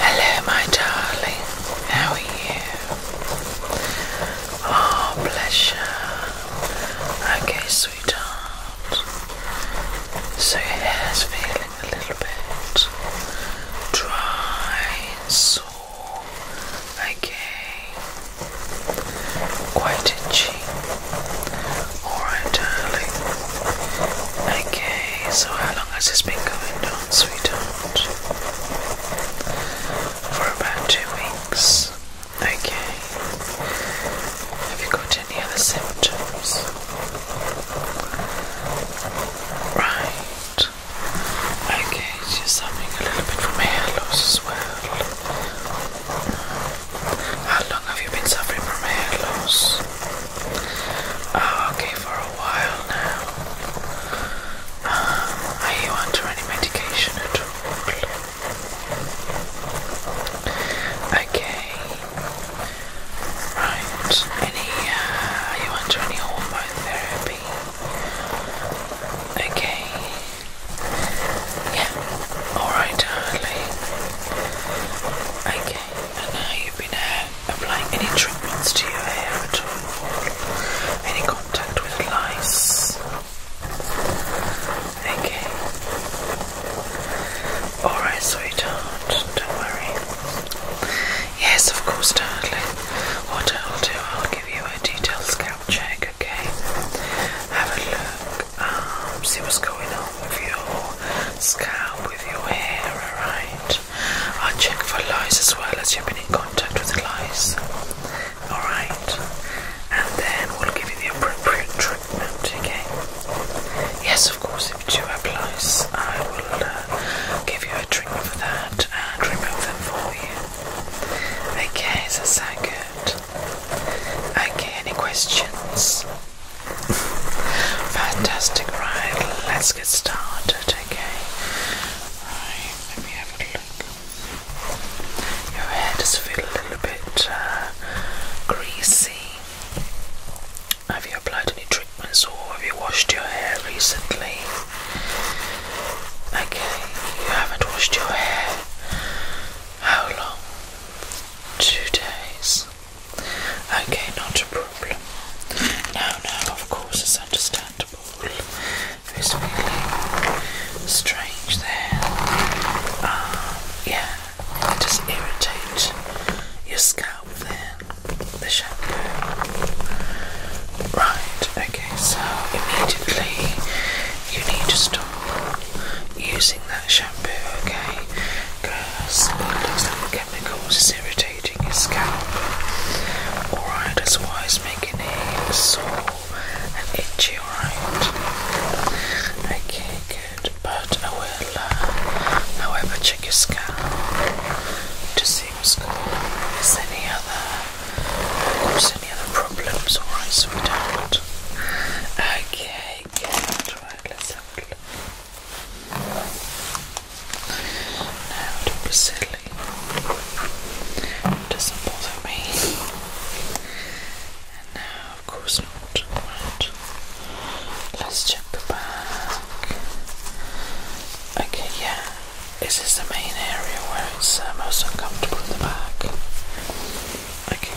Hello, my darling. How are you? Oh, pleasure. Okay, sweetheart. So your hair's feeling a little bit dry, sore. Okay. Quite itchy. Alright, darling. Okay, so how long has this been going on, sweetheart? For about two weeks. Okay. Have you got any other symptoms? Right. Okay, she's suffering a little bit from hair loss as well. How long have you been suffering from hair loss? Oh, okay, for a while now. Um, are you under any medication at all? Okay. Right. Any? Uh, are you under any hormone therapy? Okay. Yeah. All right, darling. Okay. Okay, you been uh, applying any treatments to your hair at all? Any contact with lice? Okay. Alright, sweetheart, don't worry. Yes, of course, darling. What I'll do, I'll give you a detailed scalp check, okay? Have a look, um, see what's going on with your scalp with your hair, alright? I'll check for lice as well as you've been in contact with lice, alright? And then we'll give you the appropriate treatment, okay? Yes, of course, if you do I will uh, give you a treatment for that and remove them for you. Okay, that sound good? Okay, any questions? Fantastic, right? Let's get started, okay? Right, let me have a look. Your hair does feel a little bit uh, greasy. Have you applied any treatments or have you washed your hair recently? Okay, you haven't washed your hair. How long? Two days. Okay, not a problem. Now, now, of course it's understandable. It was really strange there. Um, yeah, it just irritates your scalp there, the shampoo. Right, okay, so immediately you need to stop using that shampoo, okay? Gross. It looks the chemicals is irritating his scalp. Alright, that's why it's making it sore and itchy, right? Okay, good. But I uh, will, uh, however, check his scalp to see if going on. Is any other, is any other problems? Alright, so we don't. Okay, good. Right, let's have no, don't doesn't bother me. And no, of course not. Let's check the back. Okay, yeah. Is the main area where it's uh, most uncomfortable in the back? Okay.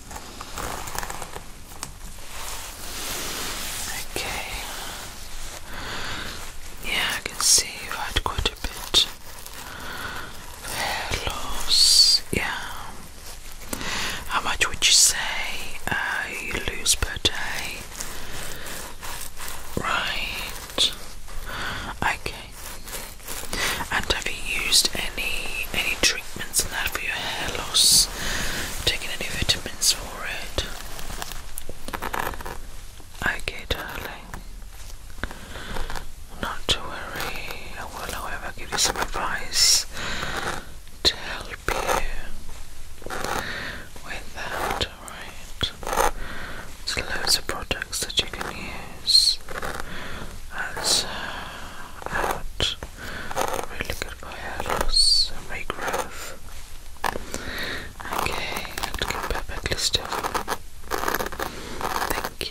Okay. Yeah, I can see you've had quite a bit hair loss. Yeah. How much would you say uh, you lose per day? Right. Okay. And have you used any any treatment? supplements and that for your hair loss. Taking any vitamins for it. Okay, darling. Not to worry. I will, however, give you some advice to help you with that. Alright. There's loads of products that you can use. That's uh, out Really good at my hair loss and my growth. Okay, I'm looking perfectly still. Thank you.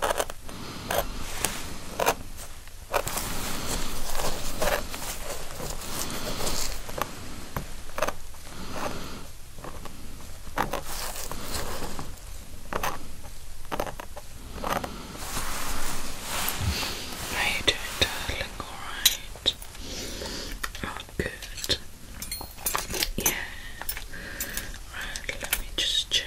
How you doing, darling? Alright. Oh, good. Yeah. Right, let me just check.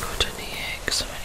Not any eggs or anything.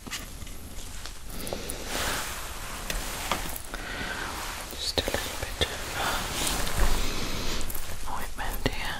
Just a little bit of uh, ointment here.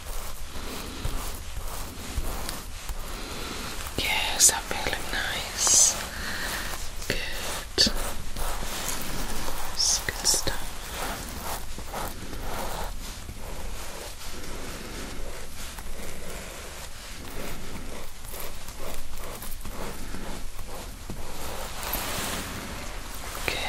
Yes, I'm nice. Good. good stuff. Okay.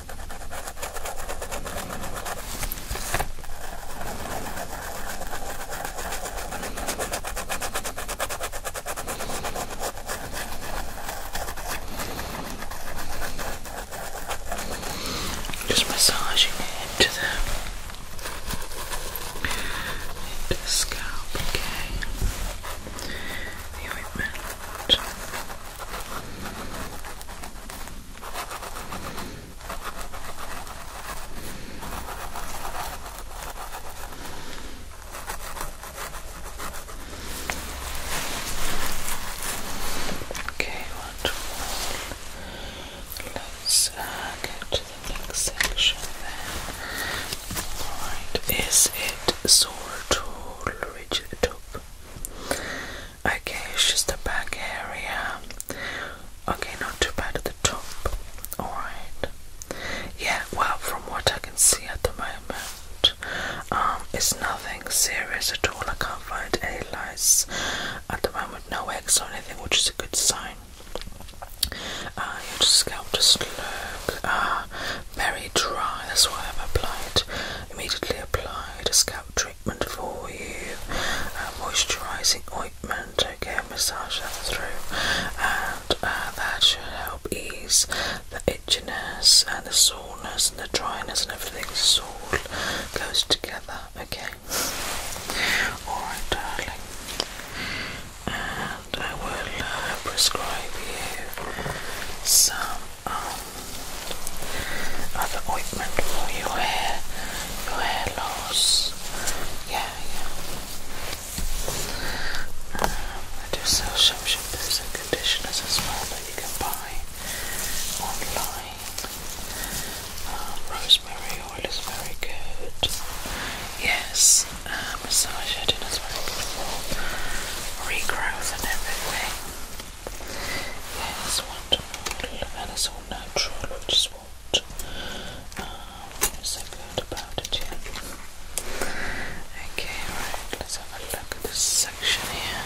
Just massaging it into the, into the scalp, okay? The ointment. Okay, wonderful. Let's uh, get to the next section Alright, is it sore to rigid Okay, it's just the back area. Okay, not too bad at the top. Alright. Yeah, well, from what I can see at the moment, um, it's nothing serious at all. I can't find any lice at the moment, no eggs or anything, which is a good sign. Uh, your scalp just look uh, very dry. That's why I've applied, immediately applied a scalp treatment for you, uh, moisturising ointment. To Okay, massage that through, and uh, that should help ease the itchiness and the soreness and the dryness and everything. So all goes together. Okay. All right, darling. And I will uh, prescribe you some um, other ointment for your hair, your hair loss. Yeah, yeah. Um, I do sell some shampoos and conditioners as well that you can buy online. Um, rosemary oil is very good. Yes uh, massage it and it's very beautiful regrowth and everything. and it's all natural, which is what um, so good about it, yeah. Okay, right, let's have a look at this section here.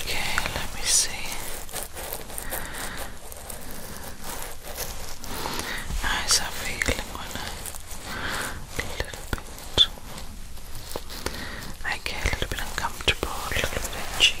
Okay, let me see. How's that feeling when little bit I Okay, a little bit uncomfortable, a little bit itchy.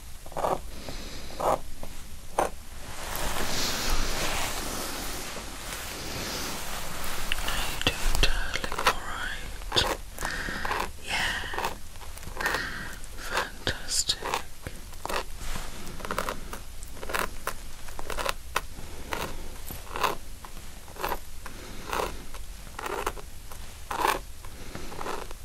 you doing, darling? Alright. Yeah. Fantastic.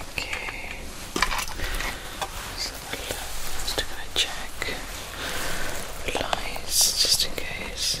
Okay, so let's just gonna check lies, just in case.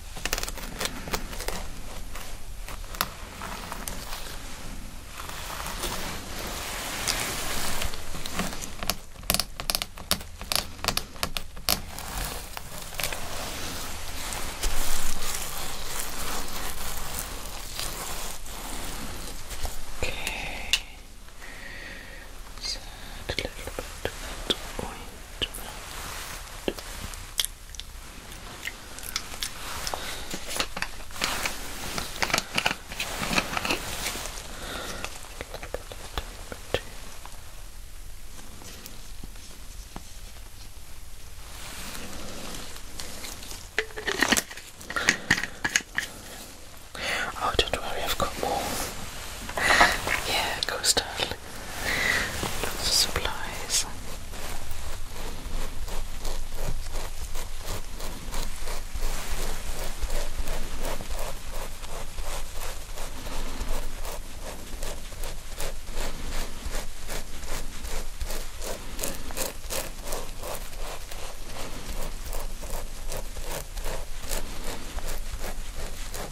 Okay. Just a little bit Oh, don't worry, I've got more. Yeah, go startling. Lots of supplies.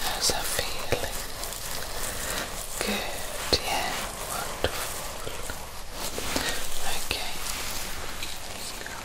How's that feeling? Good, yeah. Wonderful. Okay. Let's go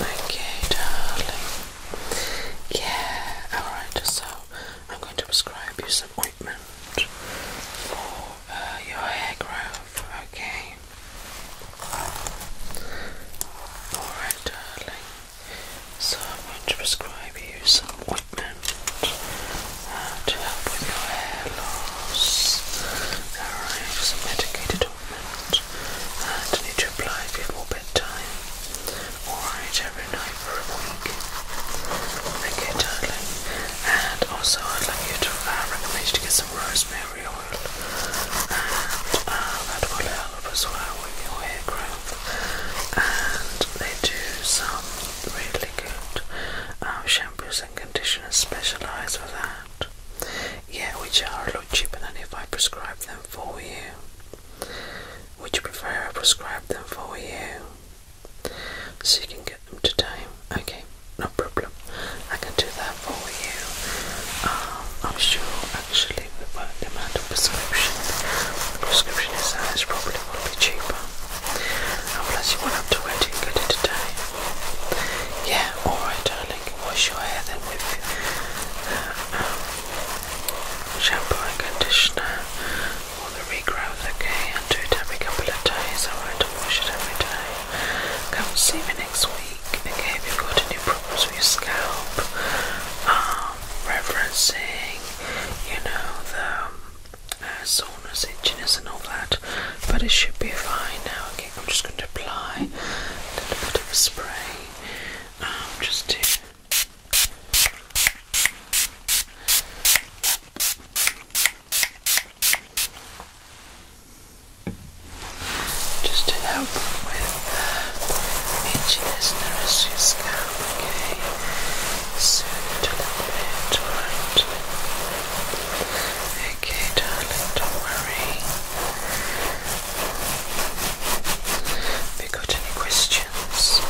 Okay, darling. Yeah, alright, so I'm going to prescribe you some ointment for uh, your hair growth, okay? Alright, darling. So I'm going to prescribe you some ointment uh, to help with your hair loss. Alright, some medicated and I need to apply before bedtime. Alright, every night for a week. Okay, darling. And also, I'd like you to uh, recommend you to get some rosemary oil, and uh, that will help as well with your hair growth. And they do some really good uh, shampoos and conditioners specialized for that. Yeah, which are a lot cheaper than if I prescribe them for you. Would you prefer I prescribe them for you? So you can get them today. Okay, no problem. I can do that for you. Um, I'm sure actually with the amount of prescription, prescription is that is probably will be cheaper. Unless you want to wait and get it today. Yeah, alright darling wash your hair then with uh, shampoo and conditioner or the regrowth, okay? And do it every couple of days, I alright? And wash it every day. Come see me next week, okay? If you've got any problems with your scalp, um, referencing, you know, the um, uh, soreness, itchiness, and all that, but it should be fine now, okay? I'm just going to apply a little bit of spray um, just to. Just to help with itchiness of your scalp, okay? Soothe it a little bit, okay, darling, don't worry. Have got any questions?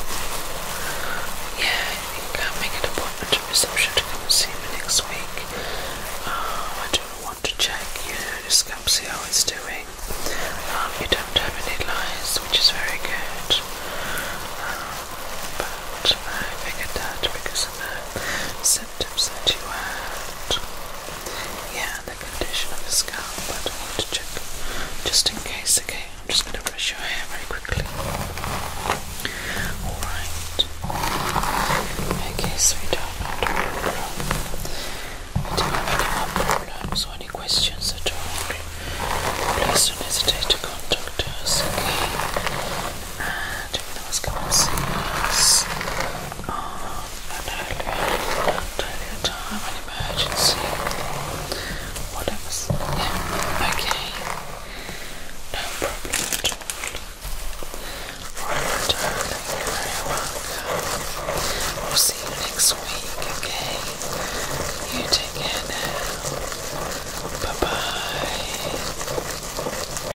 Yeah, I think make an appointment at reception to come see me next week. Oh, I don't want to check, you know, just come see how it's doing. Um, you don't have any lies, which is very good. Um, but I figured that because of the symptoms that you had. Yeah, the condition of the scalp, but I want to check just in case. Okay, I'm just going to brush your hair very quickly. Alright. Okay, sweetheart, don't have any more problems or any questions at all. Please don't hesitate to contact us, okay? during those currencies on an earlier, time, an emergency, whatever. Yeah, okay, no problem at very welcome. We'll see you next week, okay? You take Bye bye.